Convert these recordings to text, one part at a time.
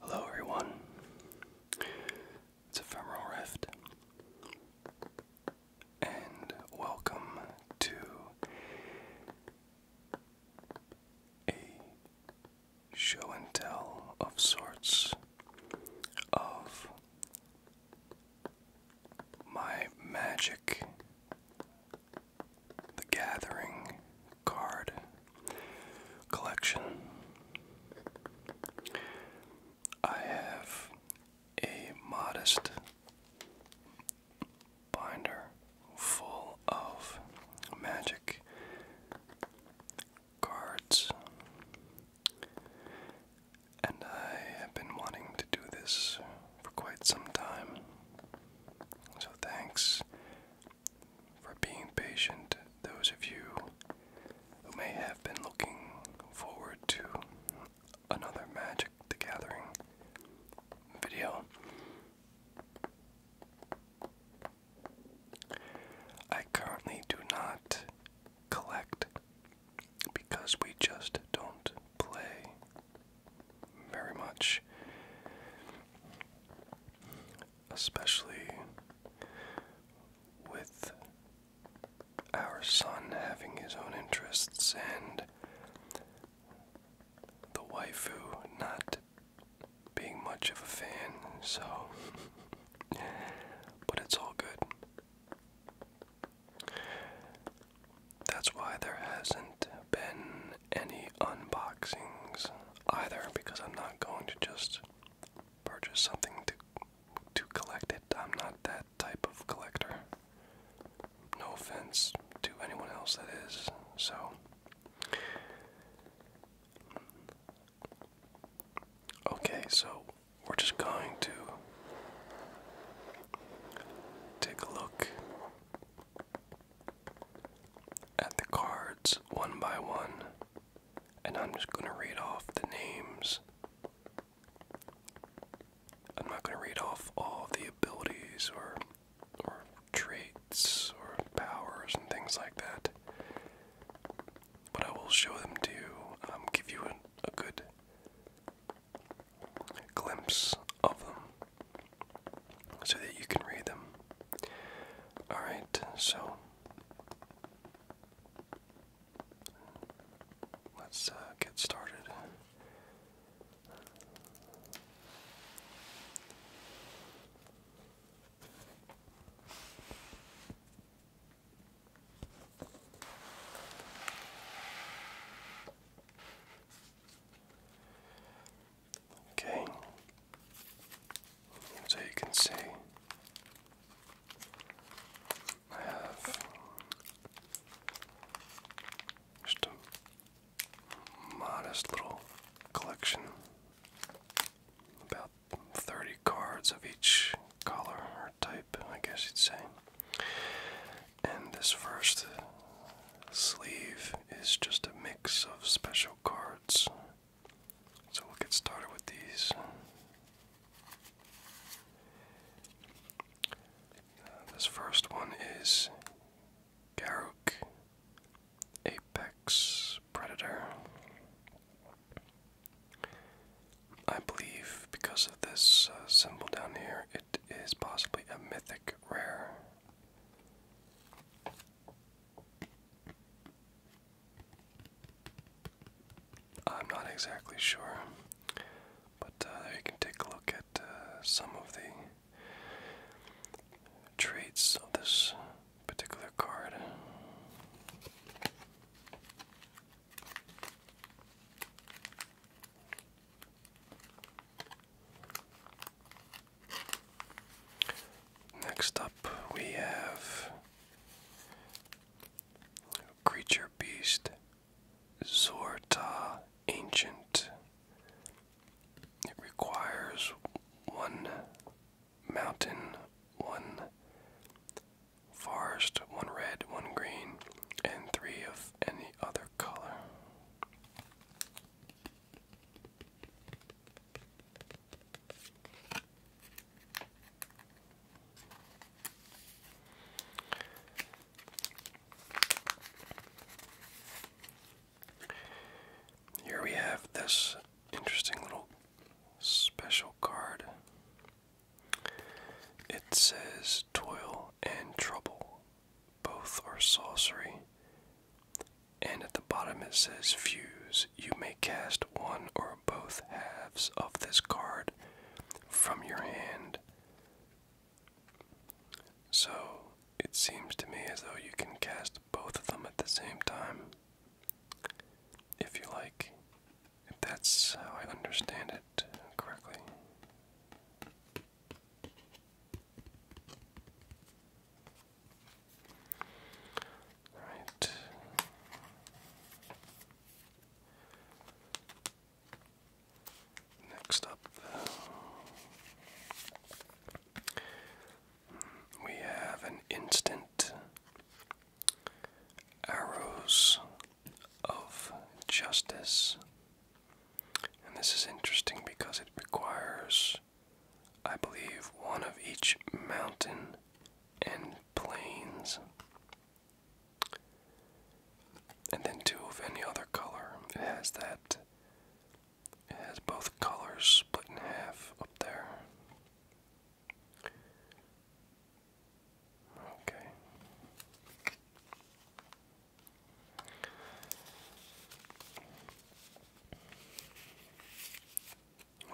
Hello, everyone. It's Ephemeral Rift, and welcome to a show and tell of sorts of my magic the Gathering card collection. I have a modest binder full of magic cards. And I have been wanting to do this for quite some time. So thanks for being patient, those of you who may have been looking forward to another Magic the Gathering video. I currently do not collect because we just don't play very much. Especially with our son having his own interests and the waifu not being much of a fan, so. but it's all good. That's why there hasn't been any unboxings either, because I'm not going to just purchase something to to collect it. I'm not that type of collector. No offense to anyone else that is. So Okay, so we're just going to take a look at the cards one by one, and I'm just going to read off the names. I'm not going to read off all the abilities or or traits or powers and things like that. But I will show them to you, um, give you a good glimpse of them so that you can read them. Alright, so let's uh, get started. Okay, so you can see I have just a modest little collection about 30 cards of each color or type, I guess you'd say. And this first sleeve is just a mix of special cards. So we'll get started with these. Uh, this first one is Garruk Apex Predator. I believe because of this uh, symbol down here, it is possibly a mythic rare. I'm not exactly sure, but uh, you can take a look at uh, some of the traits of this particular card. Next up, we have Creature Beast Zorta Ancient. It requires one mountain, one forest, one red, one green, and three of any other color. Here we have this interesting little special card. It says toil and trouble. Both are sorcery. And at the bottom it says fuse. You may cast one or both halves of this card from your hand. So it seems to me as though you can cast both of them at the same time. If you like. If that's how I understand it correctly. Right. Next up, we have an instant arrows of justice and this is interesting because it requires, I believe, one of each mountain and plains, and then two of any other color. It has that, it has both colors split in half up there. Okay.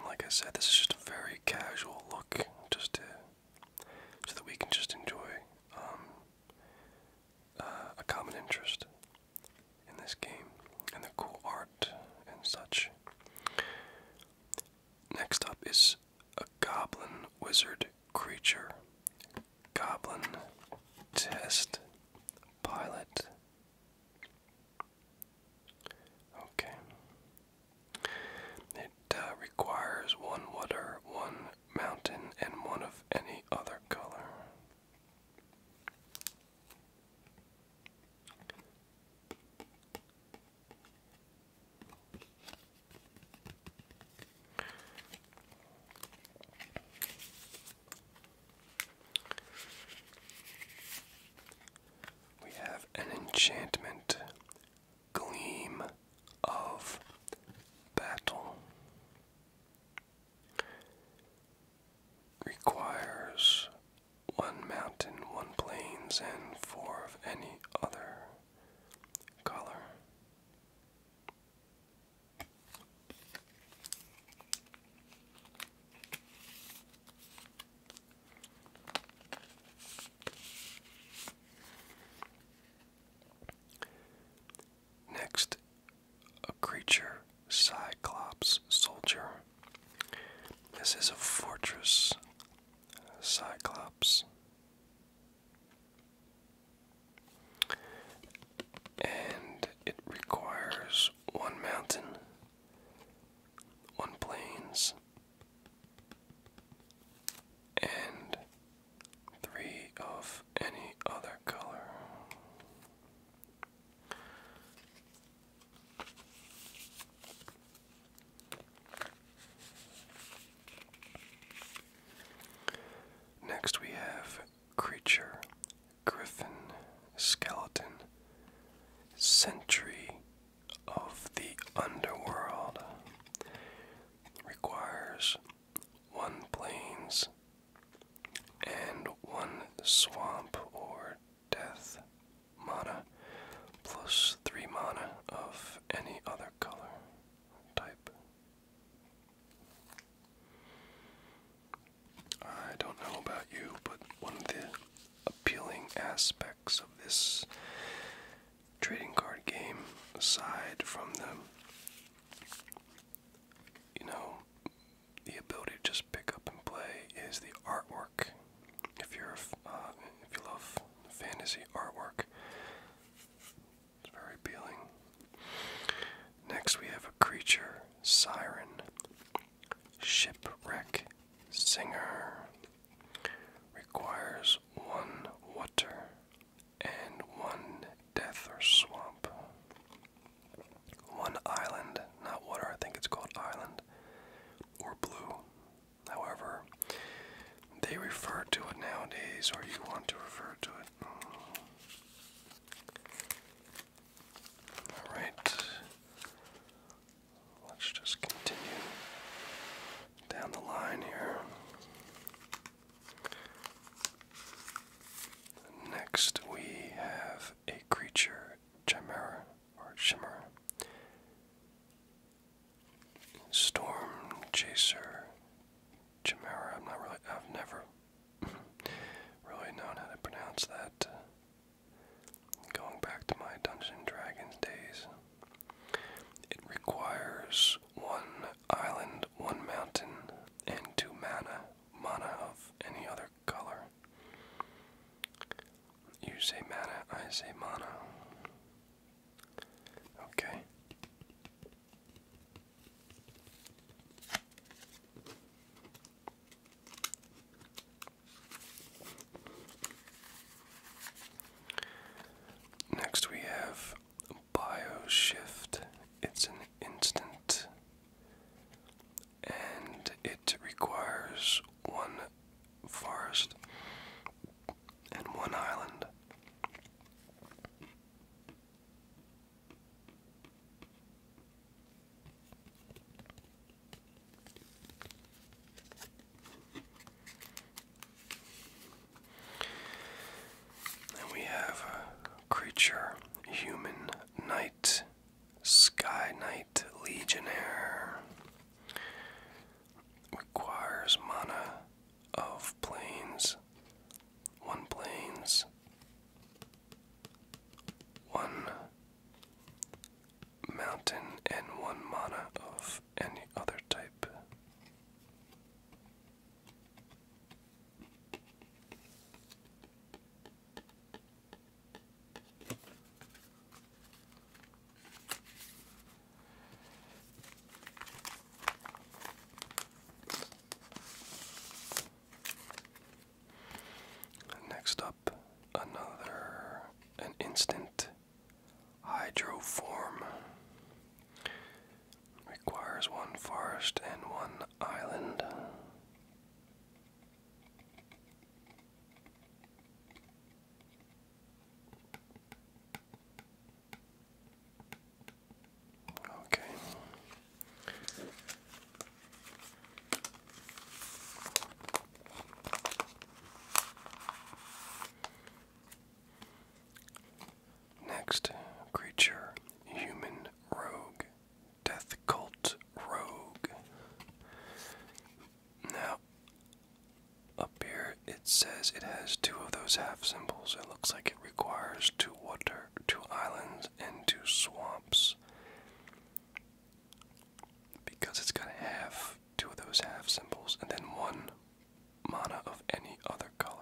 Like I said, this is just a very casual look, just to, so that we can just enjoy um, uh, a common interest in this game and the cool art and such. Next up is a goblin wizard creature Goblin Test Pilot. Okay. It uh, requires one water, one mountain, and one of any other color. We have an enchantment gleam of battle. Requires one mountain, one plains, and four of any other color. Next, a creature, Cyclops Soldier. This is a fortress, Cyclops. And it requires one mountain, one plains, and three of any other color. Next, we have creature, griffin, skeleton, sentry of the underworld. Requires one plains and one swamp or death mana plus three mana of any other color type. I don't know about you, but one of the appealing aspects of this trading card game, aside from the, you know, the ability to just pick up and play, is the artwork. If you're, uh, if you love fantasy artwork, it's very appealing. Next, we have a creature, siren, shipwreck, singer. Requires one water and one death or swamp. One island, not water, I think it's called island, or blue. However, they refer to it nowadays, or you want to refer to it all right. Let's just continue down the line here. Next, we have a creature, Chimera or Chimera. Storm Chaser Chimera. I'm not really. I've never really known how to pronounce that. Uh, going back to my Dungeons Dragons days, it requires one island, one mountain, and two mana, mana of any other color. You say mana, I say mana. Okay. Next, we have BioShift. It's an instant and it requires one forest and one island we have a creature, human knight, sky knight, legionnaire. Requires mana of planes, one plains, one mountain, and one mana of any other type. Next up, another an instant hydro form Requires one forest and one island. Okay. Next creature, human rogue, death cult rogue. Now, up here it says it has two of those half symbols. It looks like it requires two water, two islands into swamps because it's got half, two of those half symbols, and then one mana of any other color.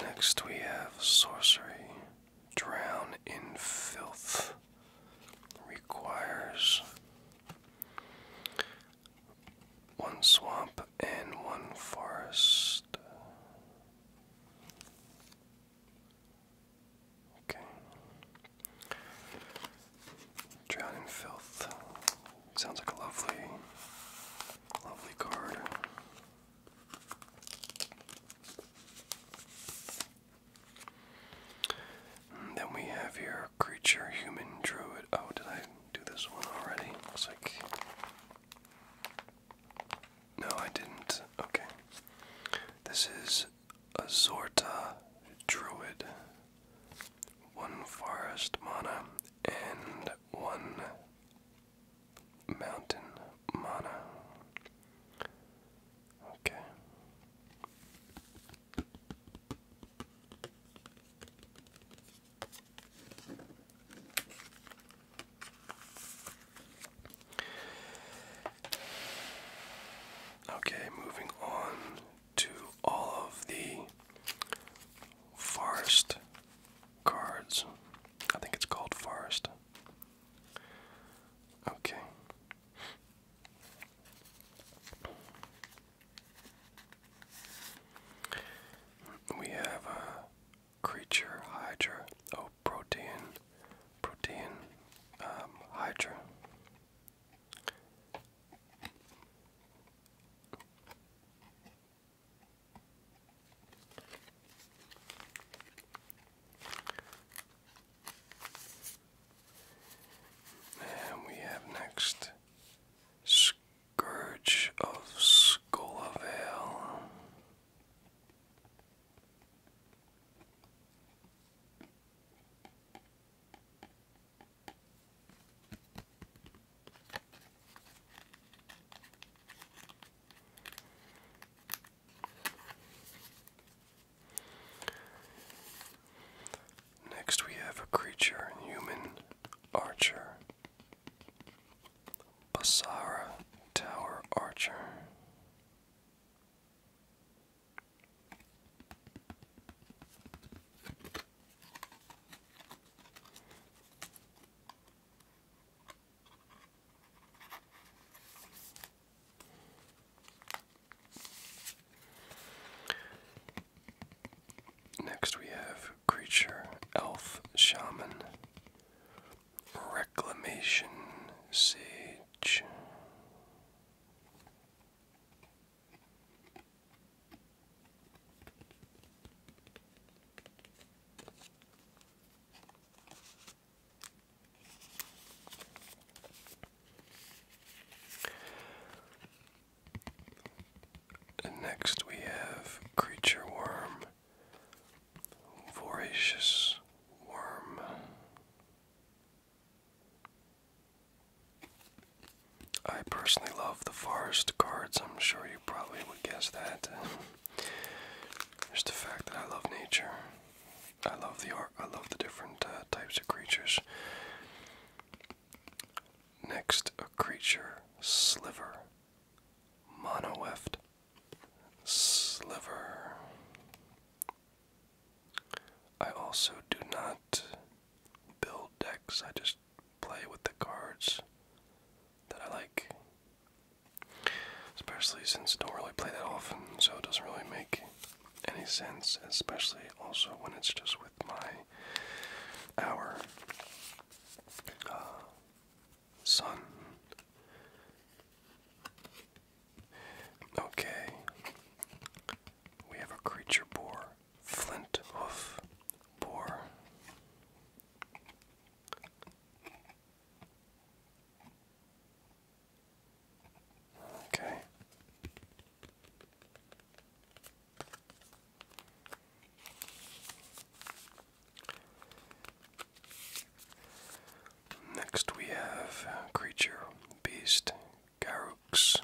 Next we have sorcery. Drown in filth. Requires one swamp and one forest. Okay. Drown in filth. Sounds like a lovely Lovely card. then we have here creature, human, druid. Oh, did I do this one already? Looks like. No, I didn't. Okay. This is Azorta Druid. One forest mana, and one mountain mana. Okay. Okay, moving on to all of the forest cards. I think it's called Forest. Okay. We have a uh, creature Hydra. Oh, protein, protein, um, Hydra. And we have next Scourge of Skullvale. Next, we have a creature, human archer, Basara Tower Archer. Next, we have Creature, Elf, Shaman, Reclamation, Sage next we have creature worm, voracious worm. I personally love the forest cards. I'm sure you probably would guess that. Just the fact that I love nature. I love the art. I love the different uh, types of creatures. Next, a creature sliver. Mono Monoweft. Sliver. I also do not build decks. I just play with the cards that I like. Especially since I don't really play that often, so it doesn't really make any sense, especially also when it's just with my our uh, son. Okay, we have a creature boar flint hoof boar. Okay. Next we have creature beast Garrux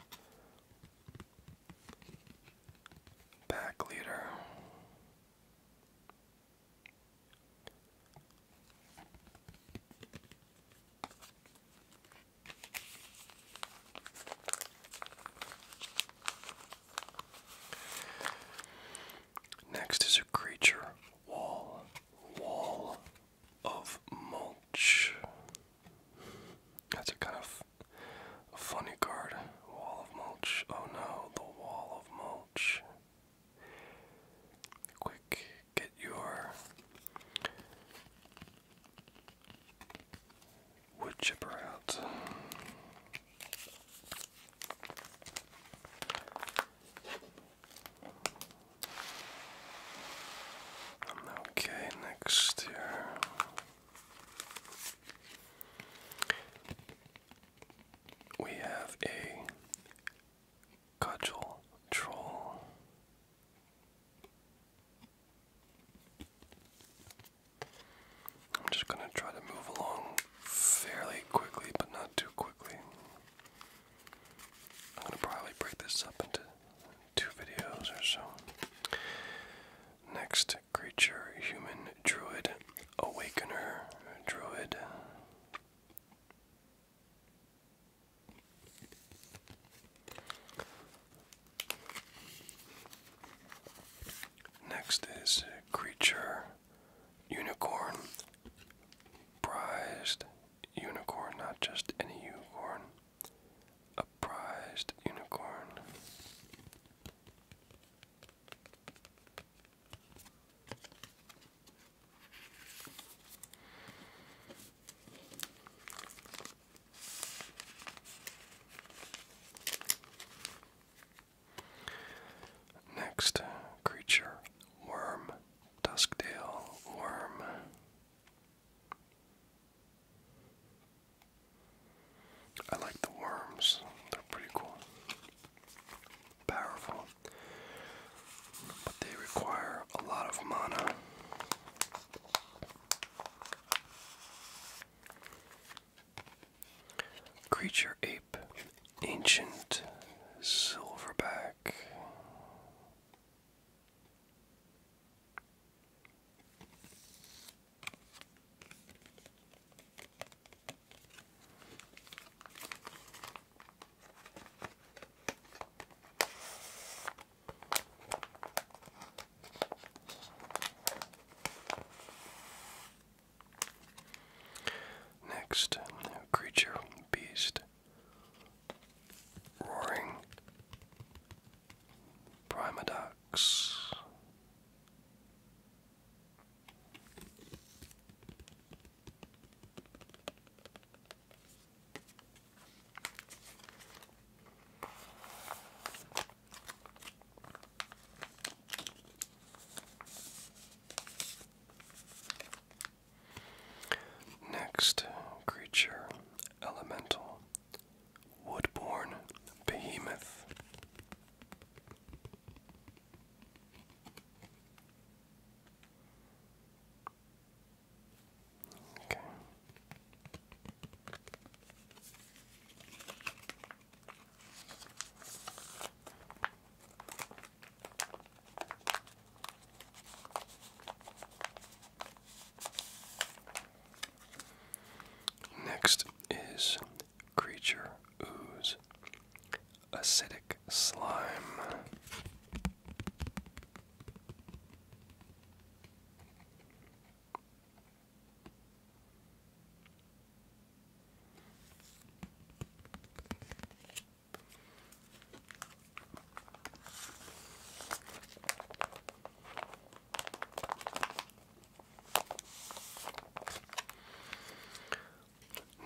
Back leader. Next is a creature wall, wall of mulch. That's a kind of a funny card. Wall of mulch. Oh no, the wall of mulch. Quick, get your wood chipper out. Okay, next here. We have a cudgel troll. I'm just going to try to move along fairly quickly, but not too quickly. I'm going to probably break this up into two videos or so. Next, creature, human, druid, awakener, druid. Next is creature, unicorn, prized unicorn, not just any unicorn, a prized unicorn. Next creature, worm, dusktail worm. I like the worms, they're pretty cool. Powerful. But they require a lot of mana. Creature Ape, Ancient Silverback. Next, creature, beast, roaring Primadon. Next creature, elemental, Woodborne Behemoth. Okay. Next is Creature Ooze Acidic Slime.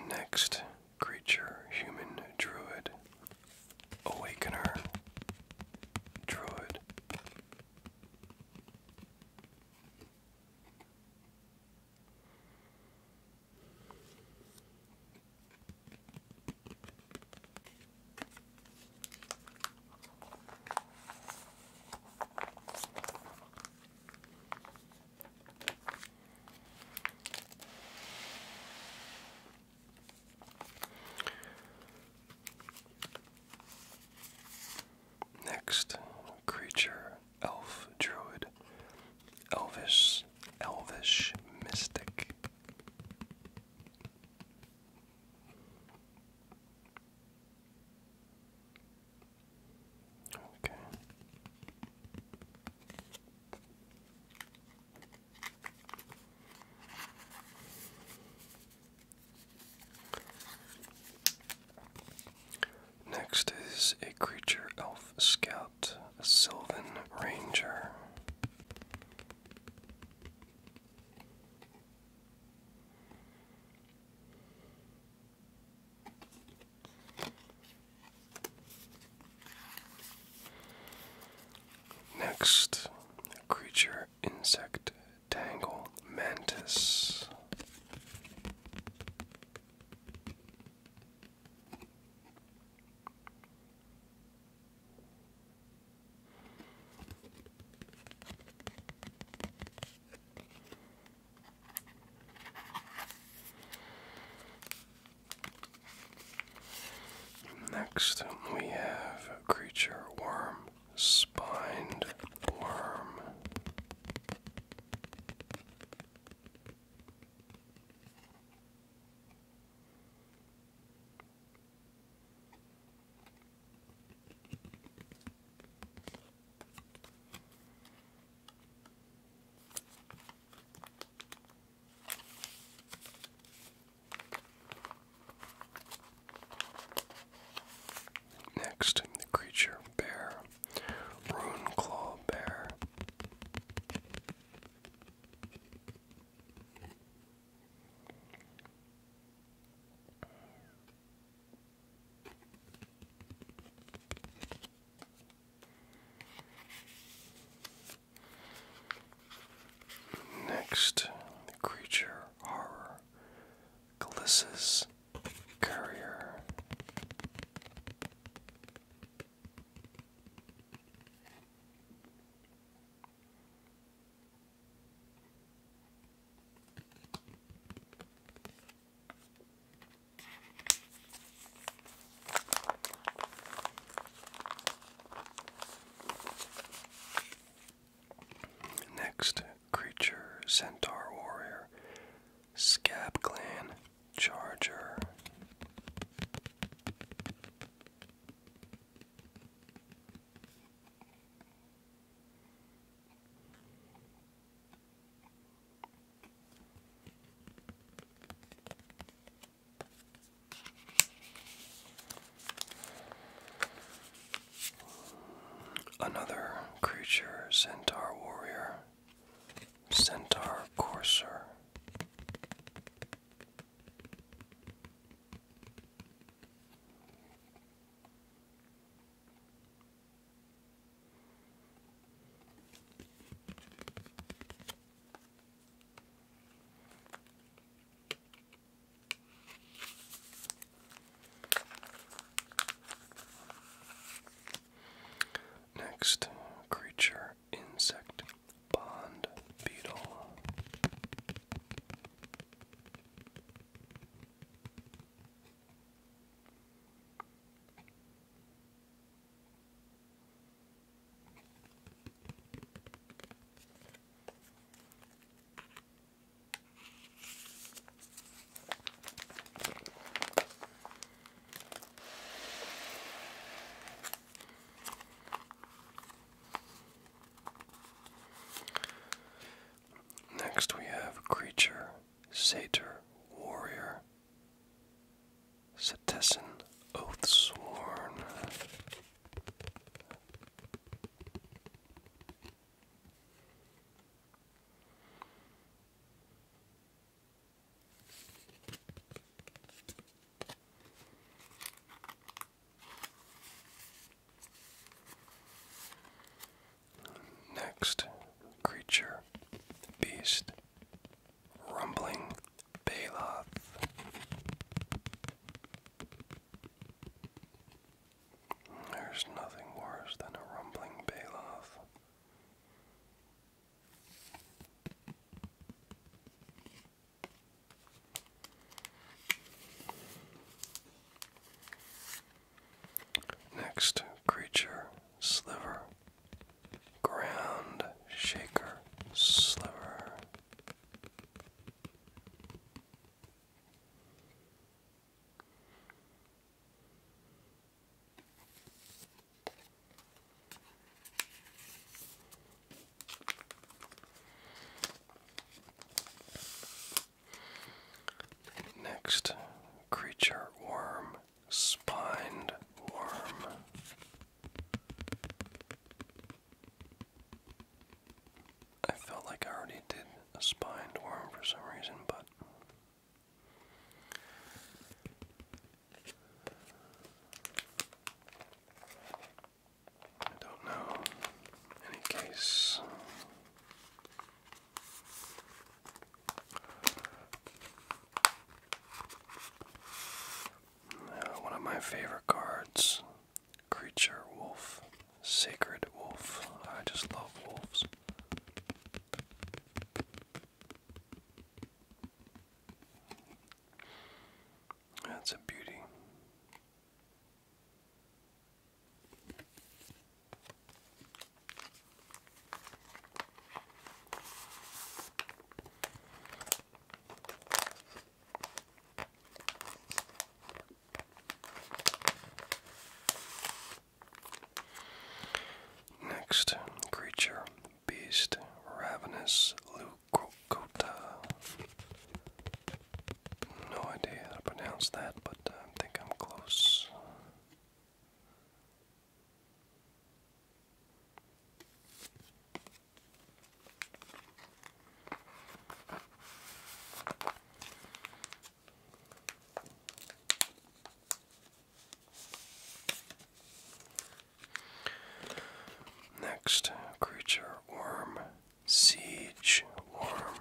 Next creature, human druid, awakener, druid. Next creature, elf druid, elvish, elvish mystic. Next is a creature elf scout, a Sylvan Ranger. Next, creature insect tangle mantis. Next, we have a creature worm, spined worm. Next, the creature bear, rune claw bear. Next, creature horror, Glissa's Courier. Next creature, Centaur Warrior, Scab Clan, Charger. Another creature, Centaur Warrior, Centaur Courser. Next creature insect bond beetle. Next, we have Creature Satyr warrior. oaths sworn. Next creature, beast, rumbling Baloth. There's nothing worse than a rumbling Baloth. Next creature, sliver. Ground shaker, sliver. Next creature worm, spined worm. I felt like I already did a spined worm for some reason, but. I don't know. any case, uh, one of my favorite cards Creature Wolf, Sacred Wolf. I just love wolves. That's a beauty. Next creature, beast, ravenous, Leucrocota. No idea how to pronounce that, but uh, I think I'm close. Next creature worm, siege worm.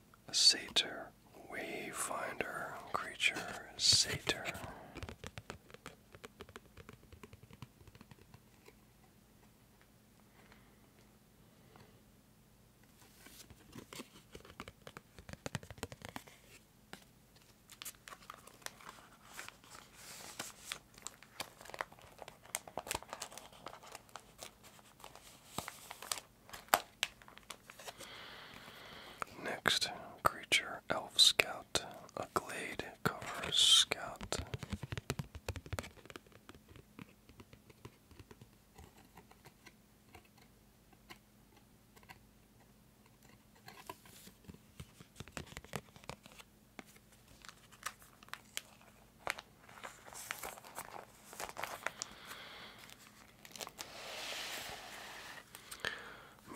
Sator, Wayfinder, creature, Sator. Next creature, Elf Scout, a glade cover scout.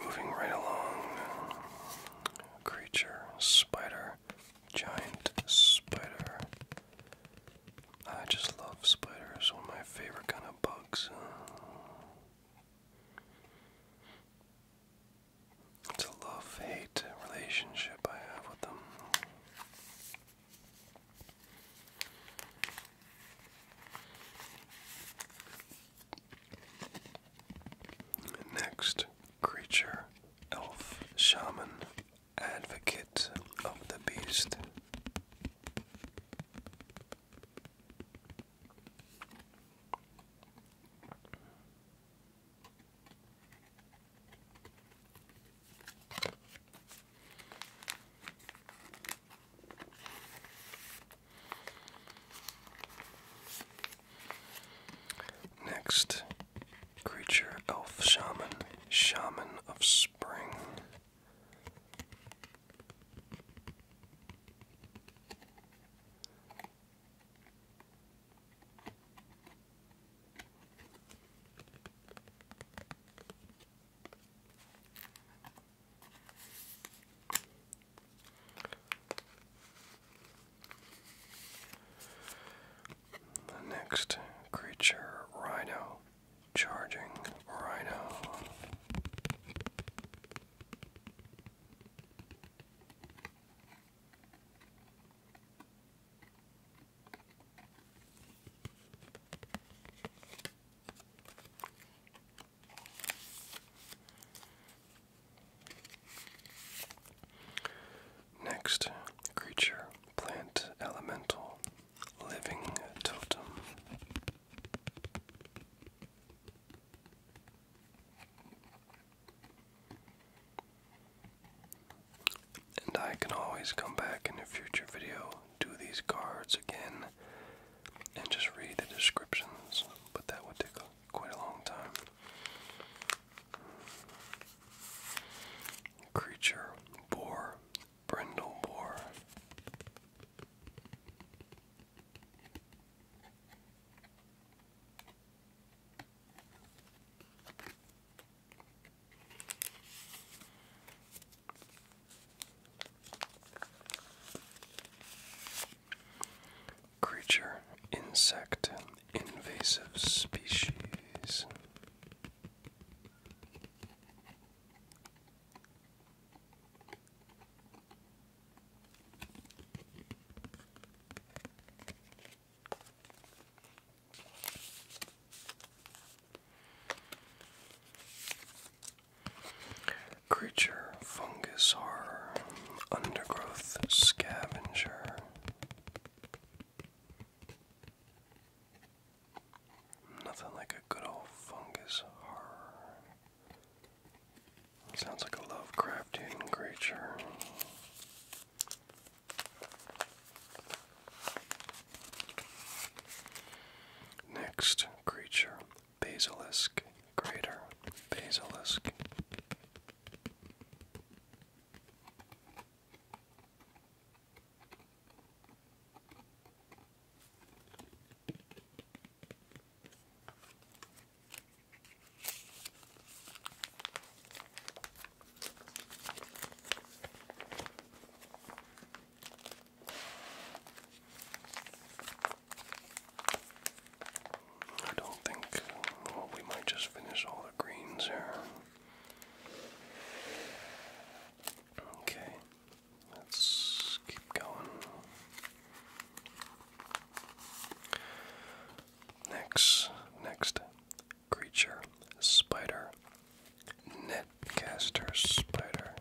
Moving right along, creature, spider, giant spider. I just love spiders, one of my favorite kind of bugs. It's a love hate relationship I have with them. Next, creature, elf, shaman, advocate of the beast. Next, creature elf shaman, shaman of spring. The next creature, Rhino, charging Rhino. Next, creature, plant, elemental, living totem and I can always come back in a future video, do these cards again, and just read the descriptions, but that would take quite a long time. Creature, boar, brindle boar. Creature, insect, invasive species. Creature, fungus, horror, undergrowth, scavenger. Nothing like a good old fungus horror. Sounds like a Lovecraftian creature. Next creature, basilisk, greater basilisk. I don't think, well, we might just finish all the greens here. Okay, let's keep going. Next, next creature, spider Netcaster Spider.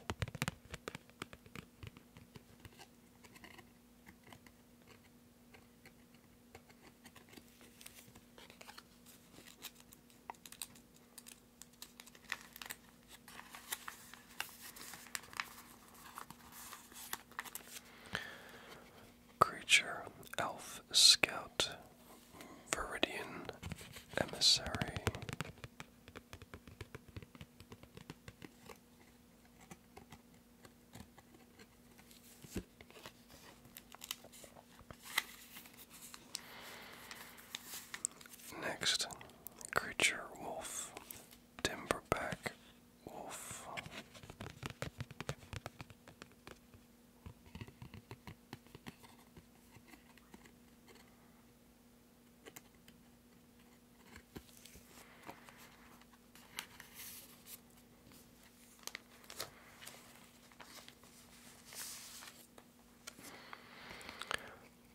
Creature Elf Scout Viridian Emissary. Next, creature wolf, timberback wolf.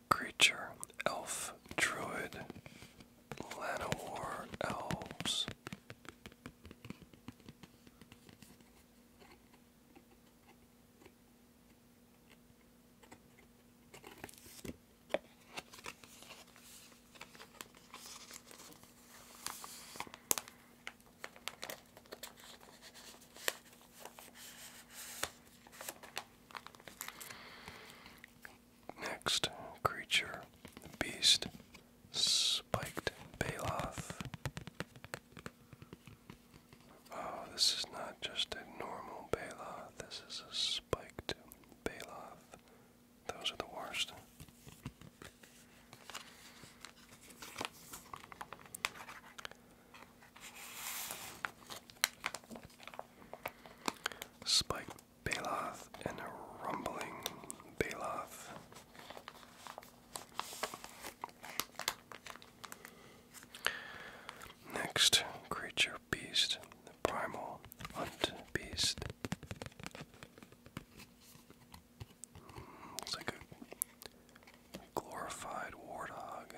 Creature, elf, druid, Lanowar, elves. Next creature, beast, spiked baloth. Oh, this is not just a normal Baloth, this is a spiked Baloth. Those are the worst. Spiked Baloth and a rumbling Baloth. Next, creature beast, the primal hunt beast. It's like a glorified warthog.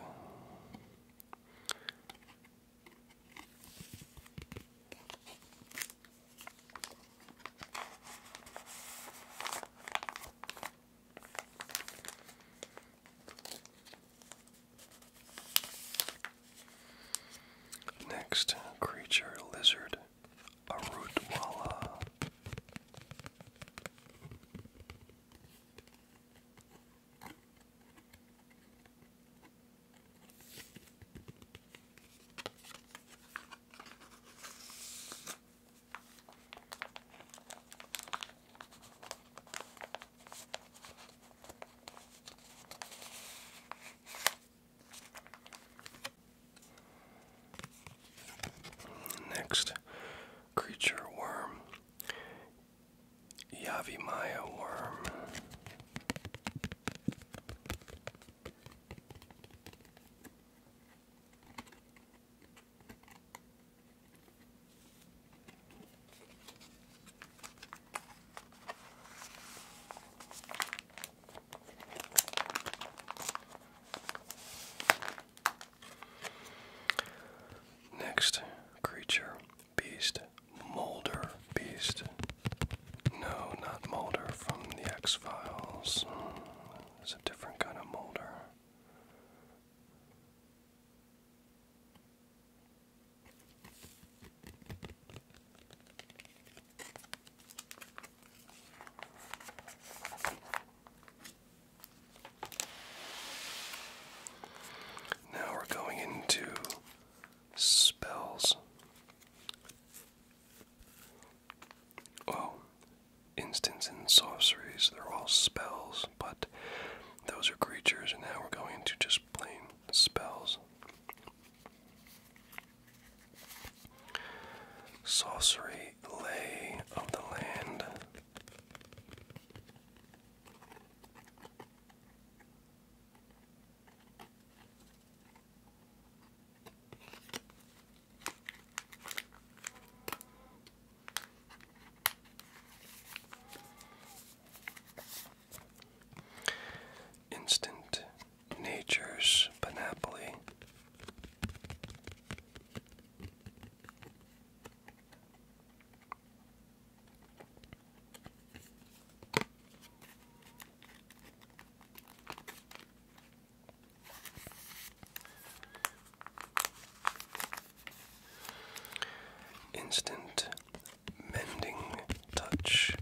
Next creature lizard, a rootwalla. Next creature worm, Yavimaya worm. Next creature, beast, Molder Beast. No, not Molder from the X Files. Hmm, it's a different kind of Molder. Now we're going into spells. Oh, instance in sorceries. They're all spells, but those are creatures, and now we're going to just plain spells. Sorcery, lay of the land. Instant Nature's Panoply. Instant mending touch.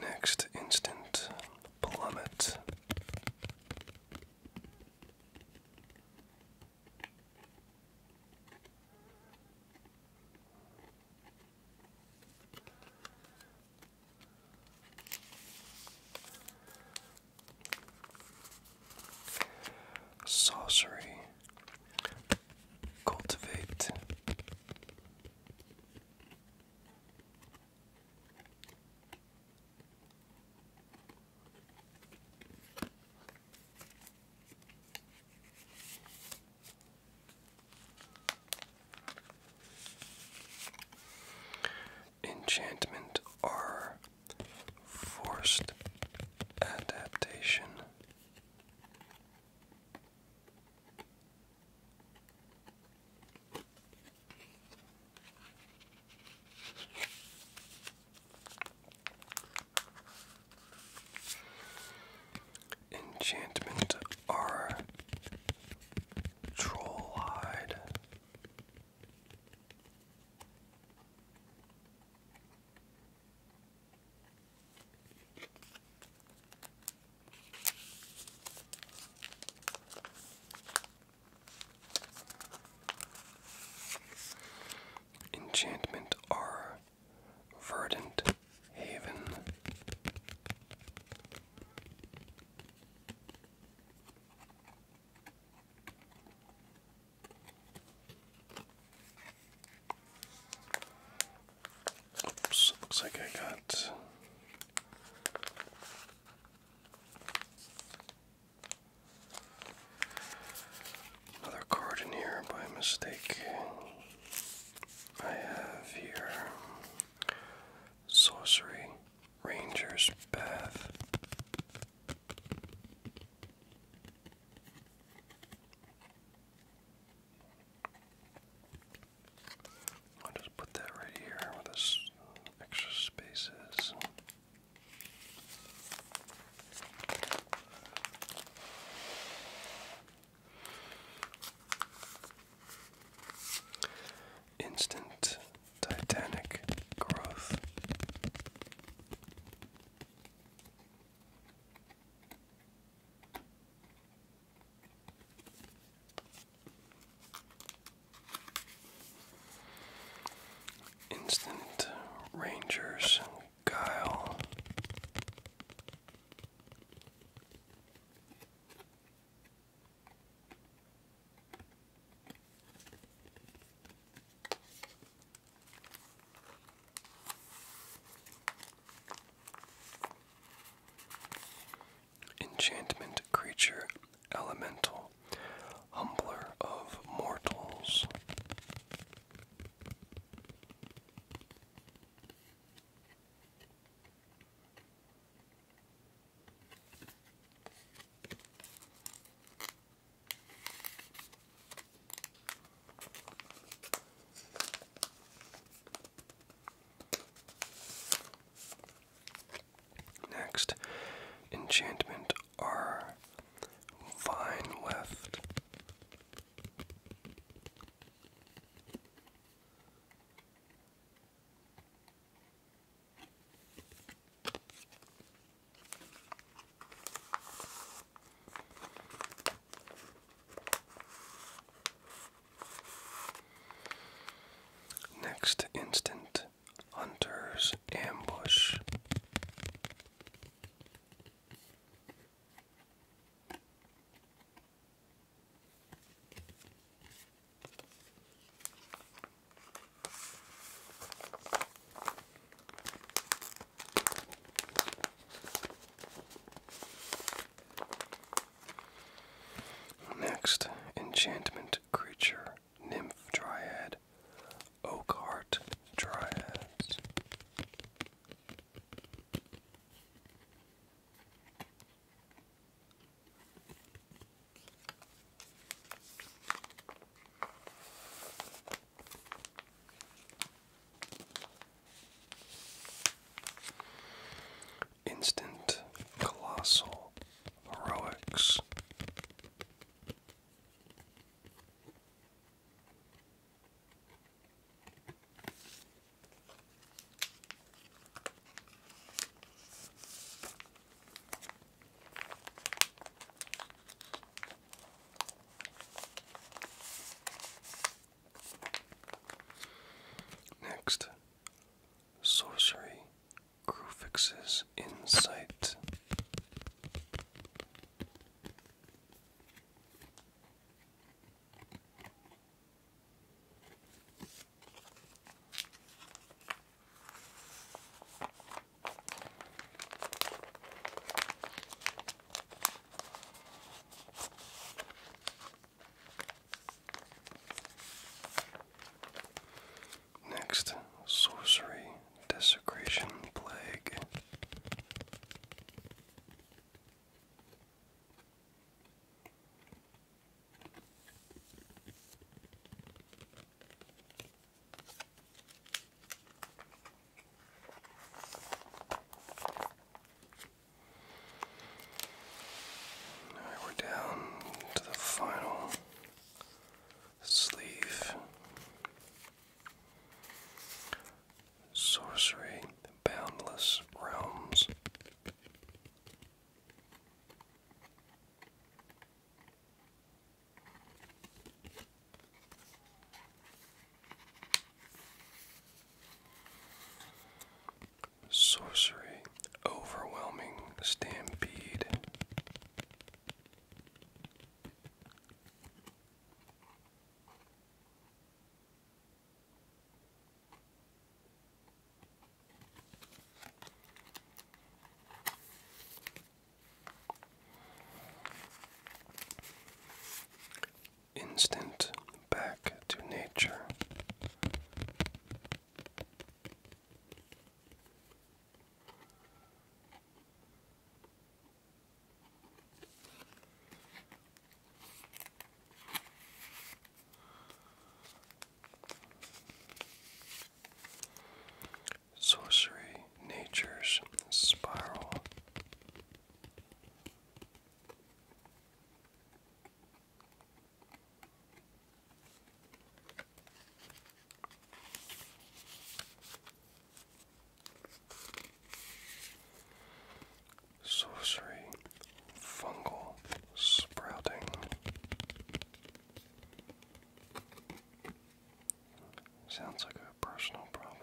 Next instant plummet. Sorcery, cultivate. Enchantment are forced adaptation. Enchantment R Troll Hide. Enchantment R Verdant Haven. Oops, looks like I got Another card in here by mistake. I have here Sorcery Ranger's Path. I'll just put that right here with this extra spaces. Instant Titanic growth. Instant Rangers, Guile enchantment creature, elemental, humbler of mortals. Next, enchantment are Vine left. Next instant Hunter's Ambush. Next, enchantment creature nymph dryad, oak heart dryads. Instant, colossal, heroics. Next, sorcery Crew Crufix's Insight. Next, sorcery, desecration, plague. All right, we're down to the final Sleeve, Sorcery, Boundless Realms. Sorcery, Overwhelming stampede. Instant back to nature. Sorcery, Nature's Spiral. Sorcery, fungal sprouting, sounds like a personal problem.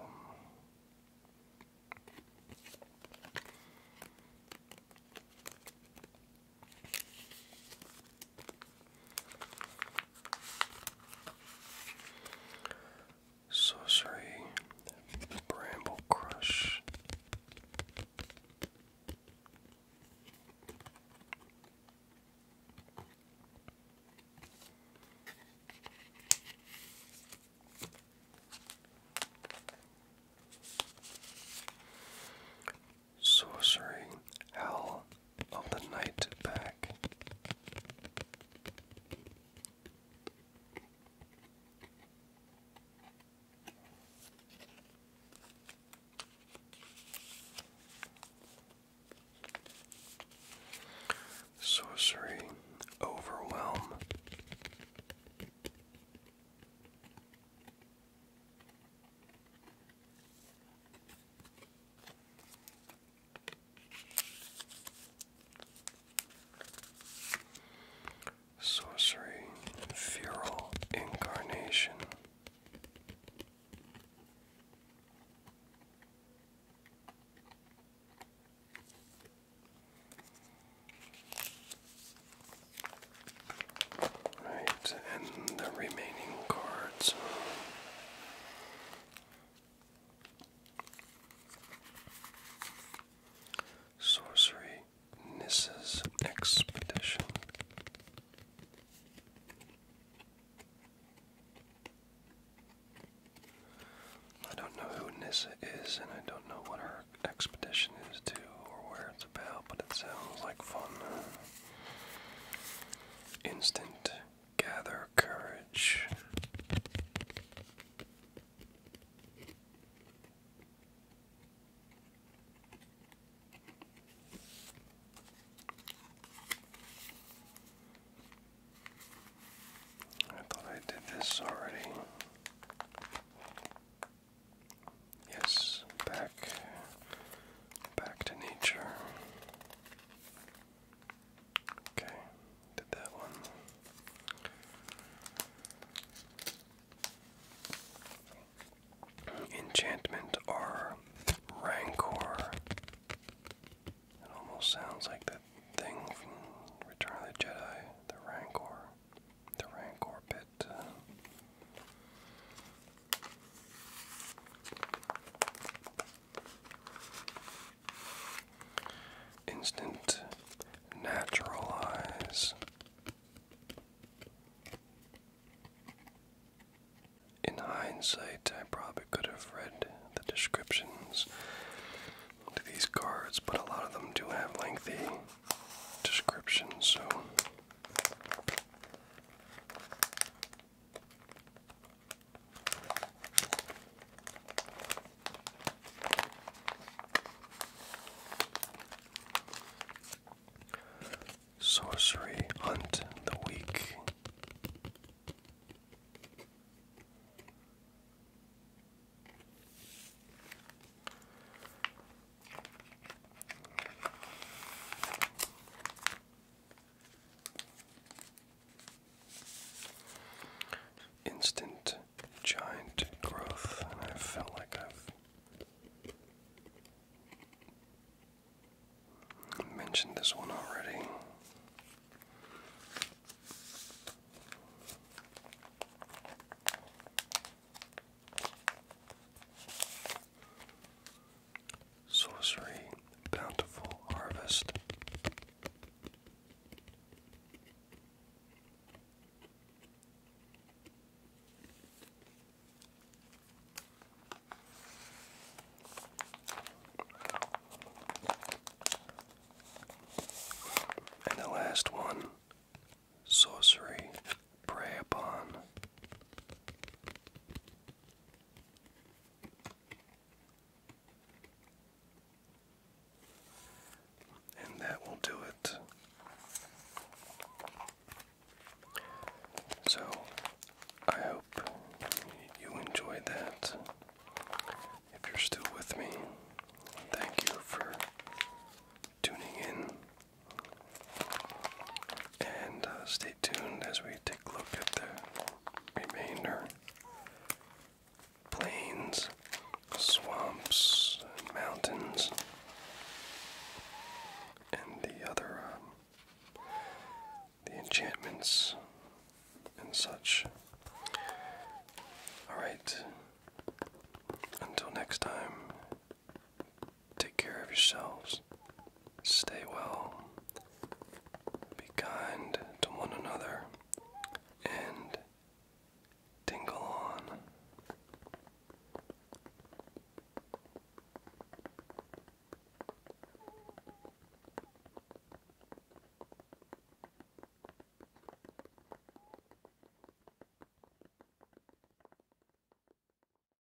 Sorcery, Bramble Crush. Sorcery, Howl of the Night Pack. Sorcery, Overwhelm. Sorcery, Feral Incarnation. Right, and the remaining cards. Sorcery Nissa's Expedition. I don't know who Nissa is, and I don't know what her expedition is to or where it's but it sounds like fun. Instant gather courage. I thought I did this already. Yes, back back to nature. Okay, did that one. Enchantment or Rancor. It almost sounds like that thing from Return of the Jedi, the Rancor. The Rancor pit. Instant natural eyes. In hindsight, I probably could have read the descriptions to these cards, but a lot of them do have lengthy descriptions, so Sorcery Hunt the Weak. Instant giant growth, and I felt like I've mentioned this one already. Sorcery, Bountiful Harvest. And the last one, sorcery, prey upon. And that will do it. So, I hope you enjoyed that. If you're still with me, thank you for tuning in. And uh, stay tuned as we take a look at the remainder plains, swamps, mountains, and the other um, the enchantments and such. All right. Until next time. Take care of yourselves. Stay well. Be kind to one another. And tingle on.